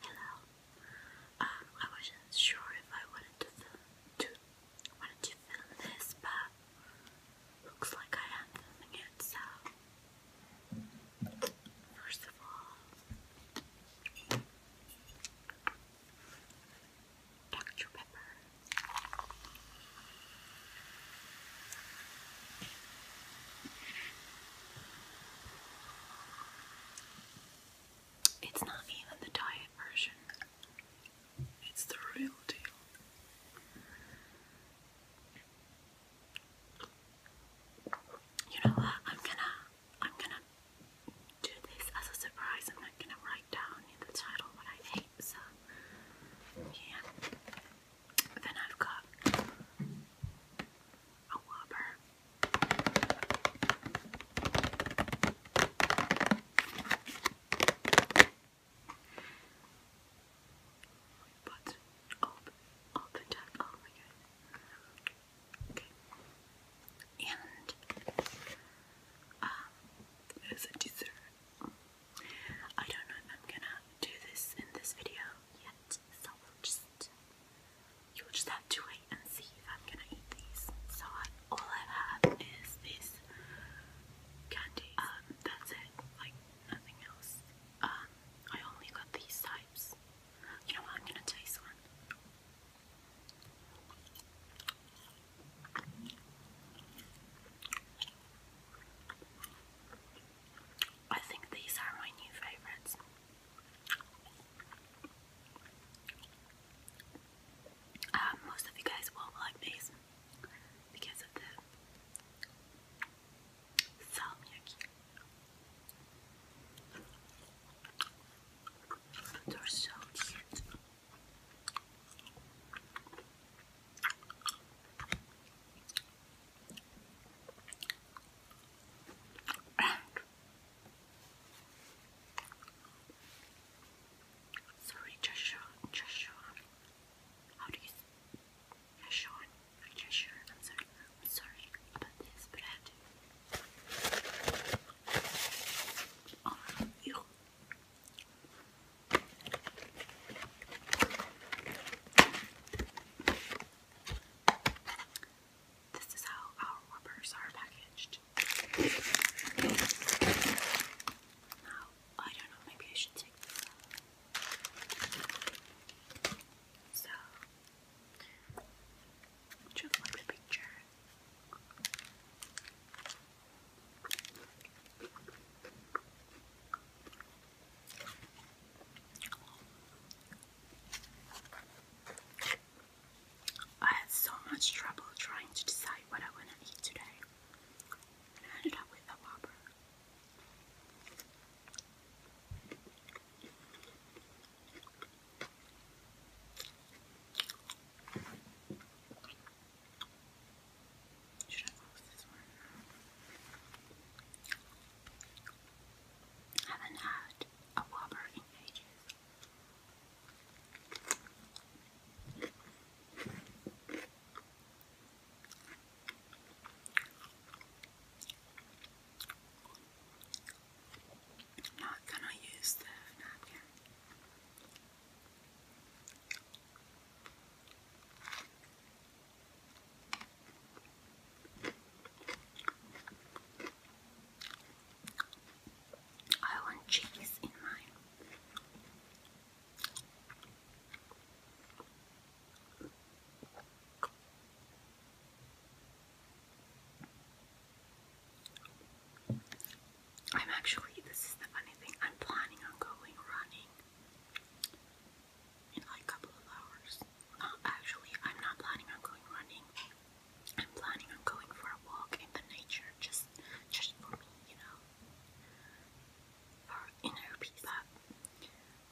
Hello. Um, I wasn't sure if I wanted to film to wanted to film this, but looks like I am filming it. So, first of all, Dr. Pepper. It's not even the diet version, it's the real deal. You know what? I'm gonna I'm gonna do this as a surprise. I'm not gonna write down the title what I ate, so yeah. But then I've got a whopper. But open, open top. Oh my god. Okay. And um, there's a dessert. I don't know if I'm gonna do this in this video, yet, so just you'll just have to wait and see if I'm gonna eat these. So all I have is this candy. Um, that's it. Like nothing else. Um, I only got these types. You know what? I'm gonna taste one. I think these are my new favourites. Um, most of you guys won't like these because of the salmiakki. They're so cute sorry Joshua, Joshua, how do you say Joshua, I'm sorry, I'm sorry about this, but I have to Oh, you. This is how our rubbers are packaged. Now, I don't know, maybe I should take this out. So, just like the picture. I had so much trouble trying to decide what I want to eat today, I ended up with a Whopper. Should I close this one? haven't had a Whopper in ages. not gonna use the napkin. I want cheese in mine. I'm actually, this is the funny thing, I'm planning on going running in like a couple of hours. actually, I'm not planning on going running. I'm planning on going for a walk in the nature, just just for me, you know, for inner peace.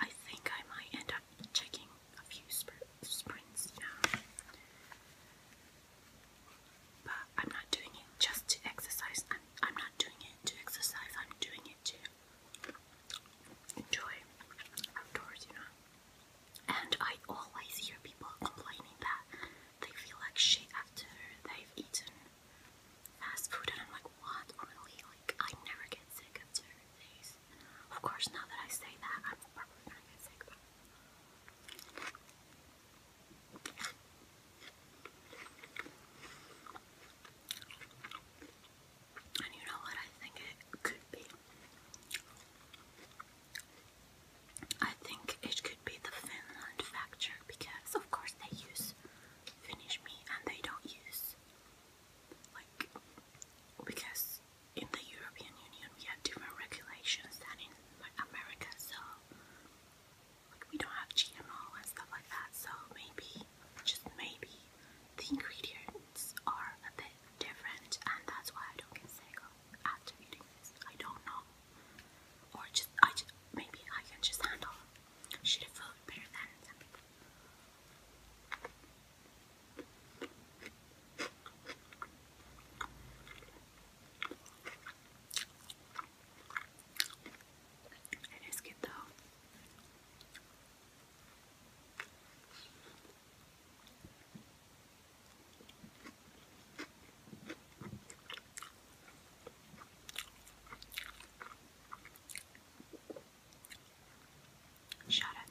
I think I might end up checking a few spr sprints now. But I'm not doing it just to exercise. I'm, not doing it to exercise. I'm doing to enjoy outdoors, you know. And I always hear people complaining that they feel like shit after they've eaten fast food, and I'm like, what? Really? Like, I never get sick after these. Of course, now that I say that, I'm probably gonna get sick, but. And you know what I think it could be? I think it could be the Finland factor because, of course, they use Finnish meat and they don't use, like, because in the European Union we have different regulations than in America, so we don't have GMO and stuff like that, so maybe, just maybe, the ingredients are a bit different, and that's why I don't get sick after eating this. I don't know, or just I just maybe I can just handle shitty food better it is good though. Shout out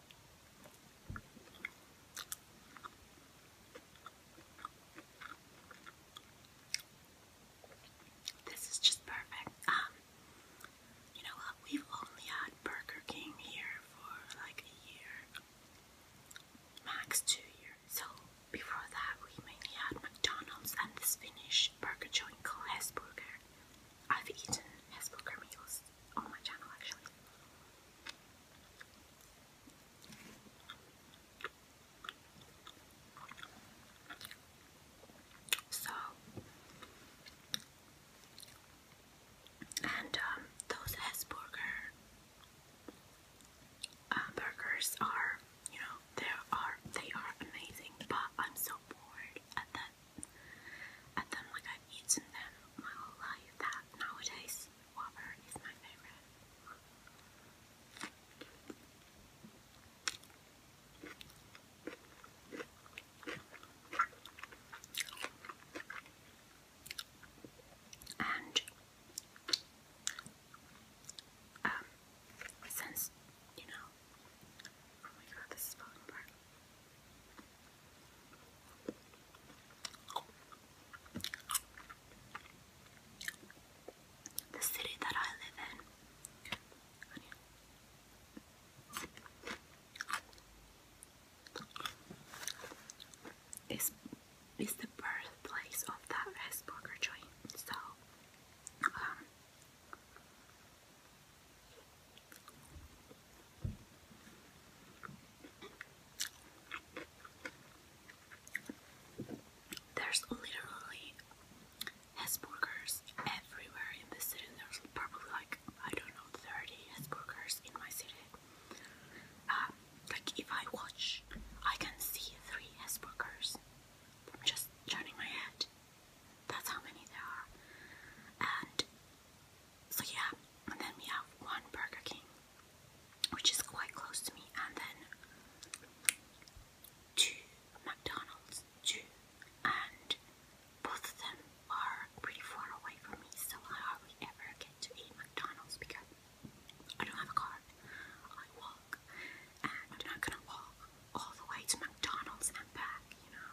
This is just perfect. Um, you know what? We've only had Burger King here for like a year, max two years. So before that, we mainly had McDonald's and the Finnish burger joint called Hesburger. I've eaten Hesburger meals on my channel actually. So, and um, those Hesburger uh, burgers are, you know, they are they are amazing, but I'm so bored at that and then, like, I've eaten them my whole life. That nowadays, Whopper is my favorite. And um, since you know, oh my god, this is falling apart. The city that I live in. Is is the birthplace of that Hesburger joint. So um, there's literally Hesburgers everywhere in the city. There's probably like, I don't know, 30 Hesburgers in my city. Uh, like, if I watch, I can see three Hesburgers from just turning my head. That's how many there are. And so yeah, and then we have one Burger King, which is quite close to me, and then two McDonald's, two, and both of them are pretty far away from me, so I hardly ever get to eat McDonald's because I don't have a car. I walk, and I'm not gonna walk all the way to McDonald's and back, you know.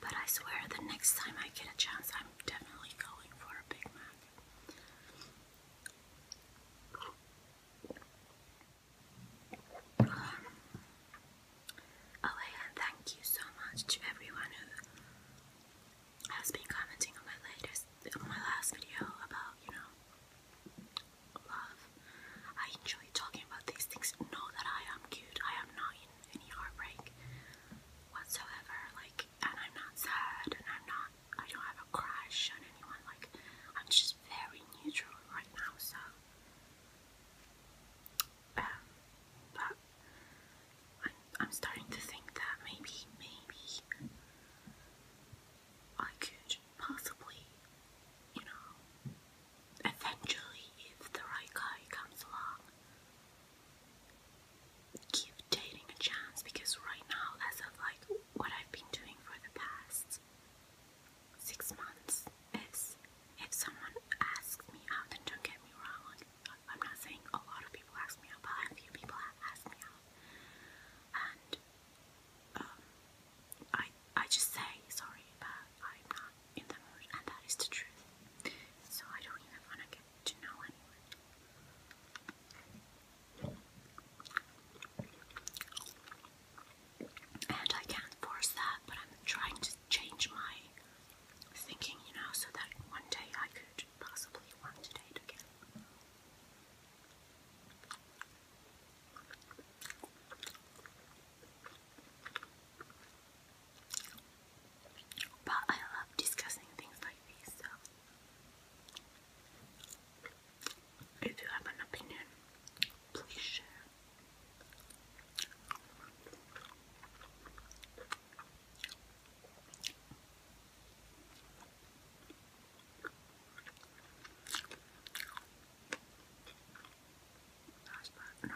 But I swear the next time I get a chance, I'm definitely going for a Big Mac oh, and thank you so much to everyone who has been commenting on my latest, my last video about, you know, love. I enjoy talking about these things. Know that I am cute. I am not in any heartbreak whatsoever. Like, and I'm not sad, and I'm not. I don't have a crush on anyone. Like, I'm just very neutral right now. So um, but I'm, I'm starting to think that maybe, maybe I could possibly, you know, eventually, if the right guy comes along, give dating a chance because right now, as of like what I've been doing for the past six months if someone asks me out, and don't get me wrong, I'm not saying a lot of people ask me out, but a few people ask me out, and um, I I just say sorry, but I'm not in the mood, and that is the truth. So I don't even want to get to know anyone and I can't force that, but I'm trying to change my thinking, you know, so that one day I could possibly want to date again. But I love discussing things like these, so if you have an opinion, please share. That's that,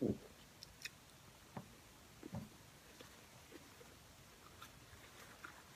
no. Ooh.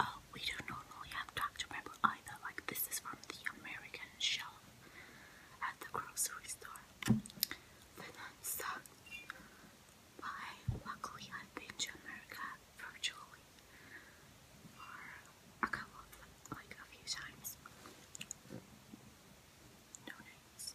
Oh, we don't normally have Dr. Pepper either. Like, this is from the American shelf at the grocery store. But that Luckily, I've been to America virtually a couple of, like, a few times. No names.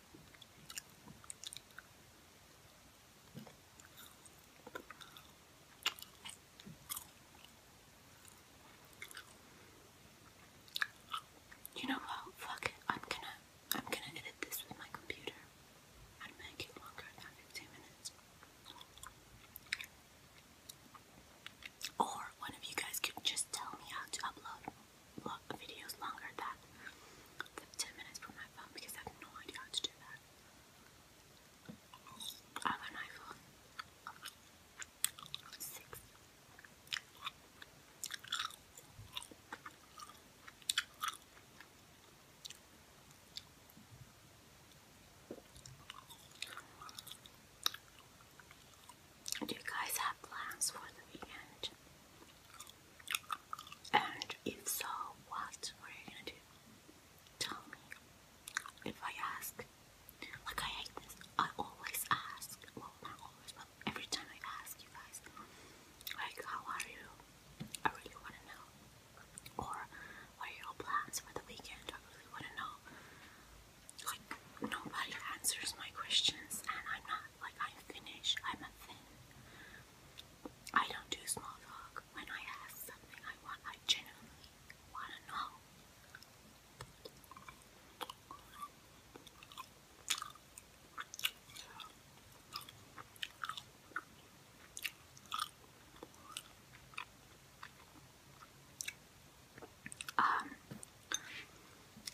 You know what? Fuck it. I'm gonna I'm gonna edit this with my computer and make it longer than 15 minutes. Or one of you guys could just tell me how to upload videos longer than 10 minutes from my phone because I have no idea how to do that. I have an iPhone do you guys have plans for the weekend? And if so, what? What are you gonna do? Tell me. If I ask, like I hate this. I always ask. Well, not always, but every time I ask you guys, like, how are you? I really want to know. Or what are your plans for the weekend? I really want to know like nobody answers my questions and I'm not like I'm Finnish, I'm a Finn. I don't do small talk. When I ask something I want, I genuinely wanna know. Um,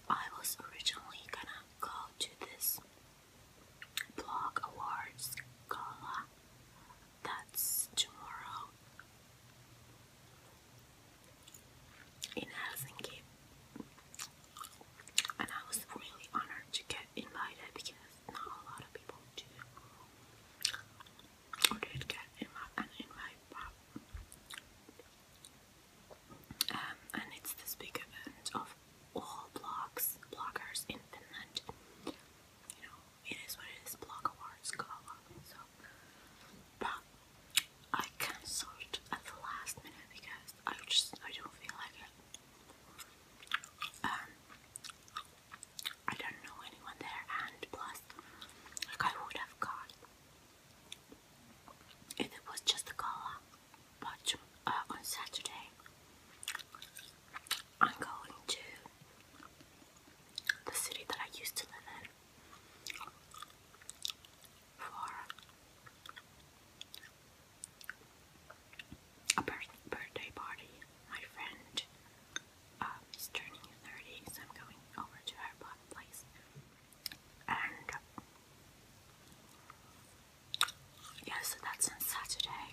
I was originally gonna go to this blog awards gala that's tomorrow in Helsinki, and I was really honored to get invited because not a lot of people do. Or did get an invite, but um, and it's this big event of all blocks, bloggers in Finland. You know, it is what it is, blog awards go along. So, but I cancelled at the last minute because I just I don't feel like it. Um, I don't know anyone there, and plus, like I would have got if it was just the color, but on Saturday I'm going to the city that I used to live in for a birthday party. My friend uh, turning 30, so I'm going over to her place and yeah, so that's on Saturday.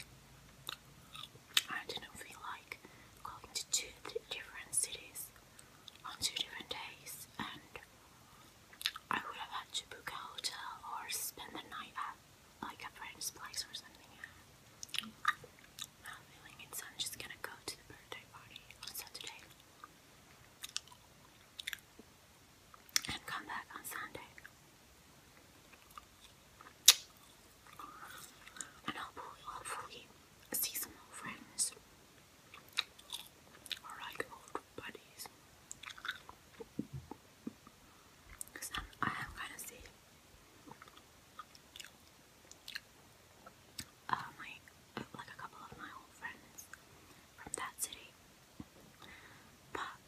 I didn't feel like going to two different cities on two different days, and I would have had to book a hotel or spend the night at like a friend's place or something. Not feeling it, so I'm just gonna go to the birthday party on Saturday and come back on Sunday. And hopefully, hopefully, see some old friends or like old buddies. Because I am gonna see uh, uh, like a couple of my old friends from that city.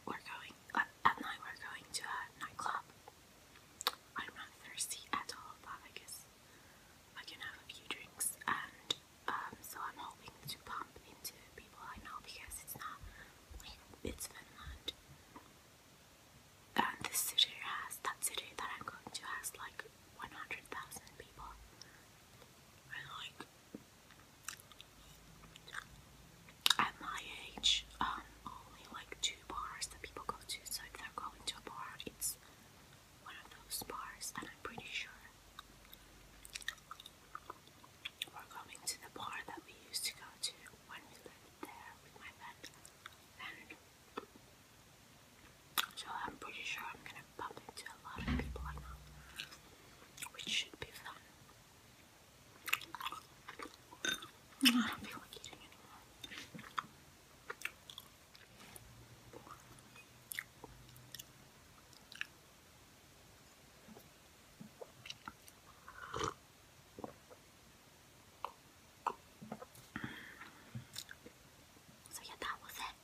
we're going at night. We're going to a nightclub. I'm not thirsty at all, but I guess I can have a few drinks, and um, so I'm hoping to bump into people I know because it's not like it's Finland. And this city has that city that I'm going to has like 100,000 people. And like, at my age, um, only like two bars that people go to. So if they're going to a bar, it's one of those bars, and I'm pretty sure we're going to the bar that we used to go to when we lived there with my pet. So I'm pretty sure I'm gonna bump into a lot of people I know, which should be fun. I don't feel like eating anymore. So yeah, that was it.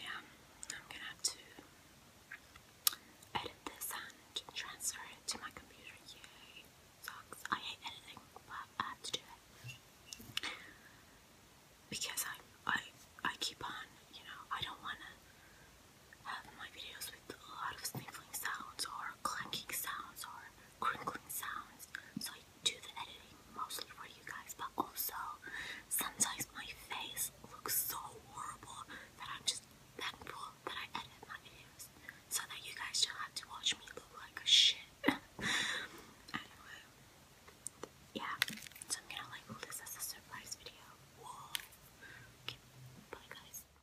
Yeah, I'm gonna have to edit this and transfer it to my computer. Yay! Sucks. I hate editing, but I have to do it because I I I keep on. You know, I don't wanna have my videos with a lot of sniffling sounds or clanking sounds or crinkling sounds. So I do the editing mostly for you guys, but also sometimes my face looks so horrible that I'm just thankful that I edit my videos so that you guys don't have to watch me look like a shit. anyway, yeah, so I'm gonna label this a surprise video. Okay, bye guys.